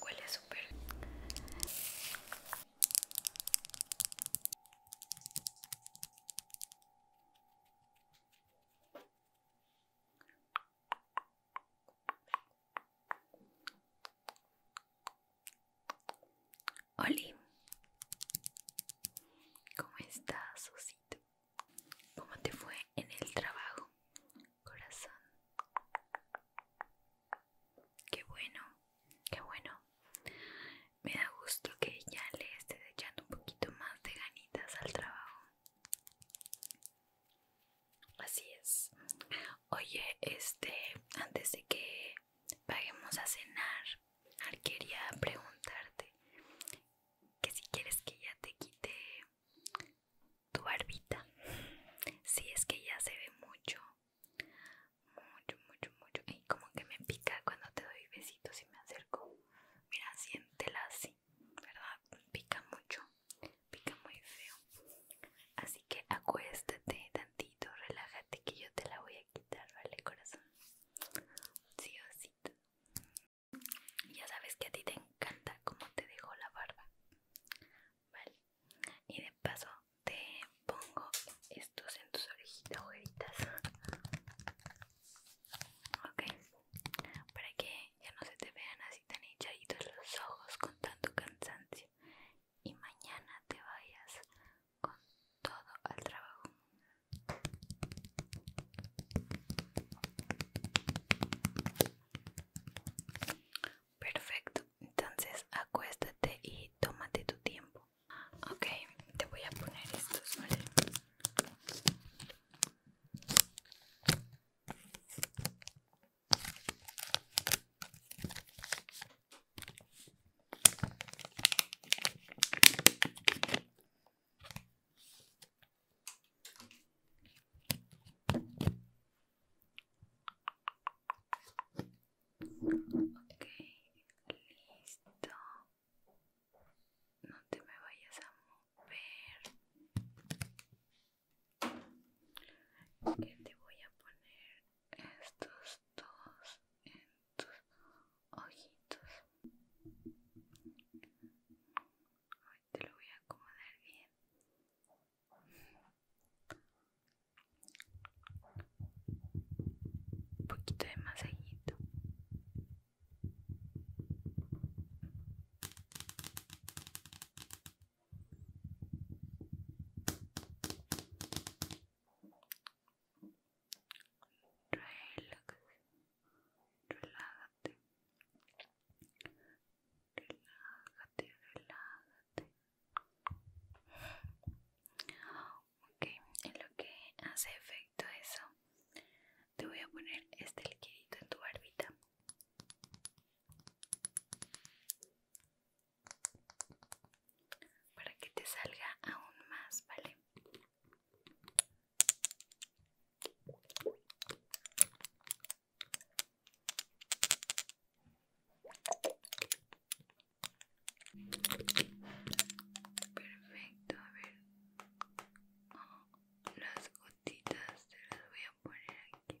Huele súper. Oli, ¿cómo estás, Osito? ¿Cómo te fue en el trabajo? corazón. Qué bueno, qué bueno. Me da gusto que ya le esté echando un poquito más de ganitas al trabajo. Así es. Oye, este, antes de que vayamos a cenar, quería preguntarte que si quieres que ya te quite tu barbita. Si sí, es que ya se ve mucho, mucho, mucho, mucho. Y como que me pica cuando te doy besitos y me acerco. Mira, siéntela así, ¿verdad? Pica mucho, pica muy feo. Así que acuéstate tantito, relájate que yo te la voy a quitar, ¿vale, corazón? Sí, osito. Ya sabes que a ti te encanta cómo te dejo la barba. Vale. Y de paso te pongo estos en tus orejitas, ojeritas. Ok. Para que ya no se te vean así tan hinchaditos los ojos con tanto cansancio. Y mañana te vayas con todo al trabajo. Perfecto, entonces acuéstate y tómate tu tiempo. Ok, te voy a poner estos, ¿vale? Ok, listo. No te me vayas a mover. Que te voy a poner estos dos en tus ojitos. Ahorita te lo voy a acomodar bien. Un poquito de masajito. look relájate, relájate, relájate. Ok, en lo que hace efecto eso, te voy a poner este liquidito en tu barbita. Para que te salga aún más, ¿vale? Perfecto, a ver. Oh, las gotitas te las voy a poner aquí.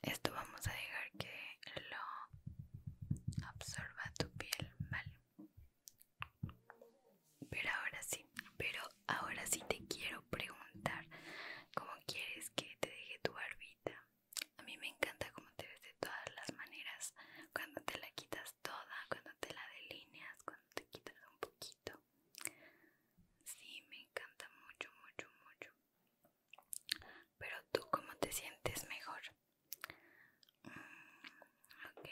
Esto vamos a dejar que lo absorba tu piel, ¿vale? Pero ahora sí, pero ahora sí te quiero preguntar, ¿cómo quieres que te deje tu barbita? a mí me encanta cómo te ves de todas las maneras, cuando te la quitas toda, cuando te la delineas, cuando te quitas un poquito. Sí, me encanta mucho, mucho, mucho. Pero tú, ¿cómo te sientes mejor? Mm, ok.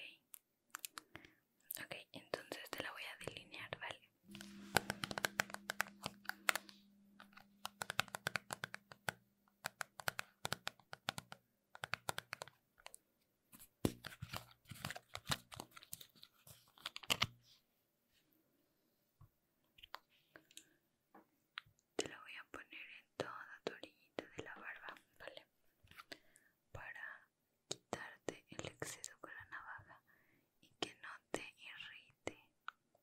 Ok, entonces te la voy a delinear, ¿vale? Te lo voy a poner en toda tu orillita de la barba, ¿vale? Para quitarte el exceso con la navaja y que no te irrite,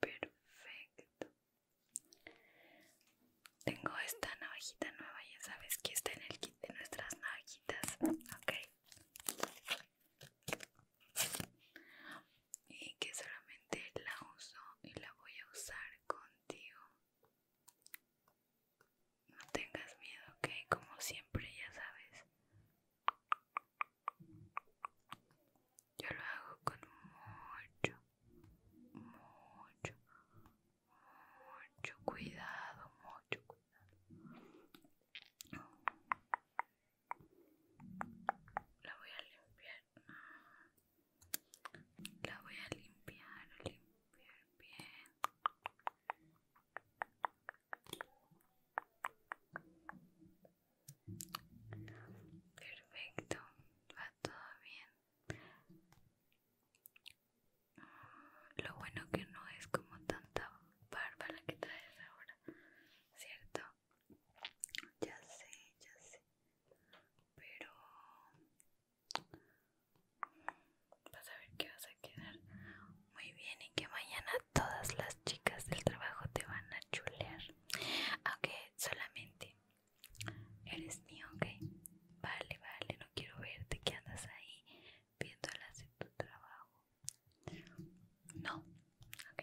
Perfecto. Tengo esta navajita nueva, ya sabes que está en el kit de nuestras navajitas, ¿ok? Y que solamente la uso y la voy a usar contigo no tengas miedo, ok, como siempre, ya sabes. Yo lo hago con mucho, mucho, mucho cuidado, mucho cuidado. La voy a limpiar. La voy a limpiar, limpiar bien. Perfecto, va todo bien. Mm, lo bueno que no es como tanta barba la que traes ahora, ¿cierto? Ya sé, ya sé. Pero vas a ver que vas a quedar muy bien y que mañana todas las chicas del trabajo te van a chulear. Aunque solamente eres mío, ¿ok? Vale, vale, no quiero verte que andas ahí viéndolas de tu trabajo. No, ok.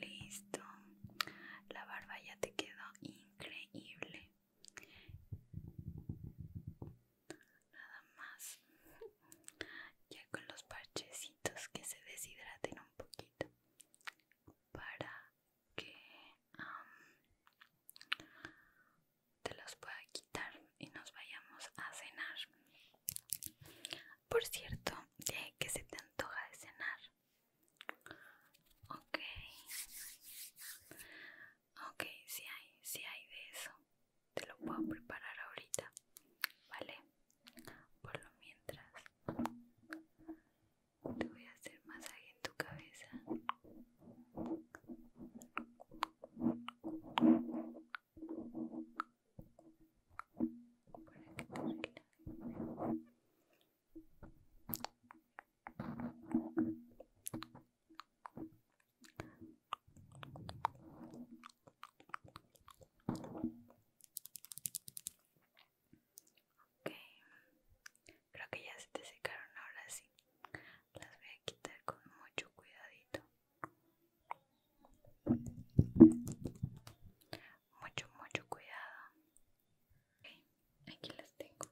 Listo. La barba ya te quedó increíble. Nada más. Ya con los parchecitos que se deshidraten un poquito. Para que te los pueda quitar y nos vayamos a cenar. Por cierto, ¿qué se te antoja de cenar? Ok. Ok, si hay, si hay de eso. Te lo puedo preparar ahorita. ¿Vale? Por lo mientras. Te voy a hacer masaje en tu cabeza creo que ya se te secaron ahora sí las voy a quitar con mucho cuidadito mucho, mucho cuidado. aquí las tengo.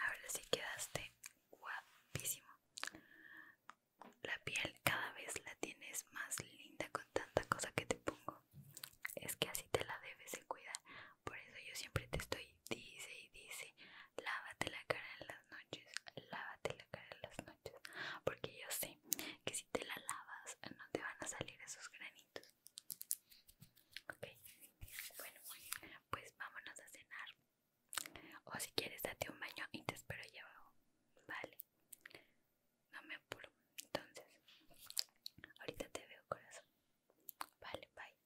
Ahora sí quedaste guapísimo. La piel cada vez la tienes más linda con tanta cosa que te pongo. Es que así te la debes cuidar. Por eso yo siempre te estoy, dice y dice, lávate la cara en las noches, lávate la cara en las noches porque yo sé que si te la lavas eh, no te van a salir esos granitos ok bueno pues vámonos a cenar o si quieres date un baño y te espero ya vale no me apuro entonces ahorita te veo corazón vale bye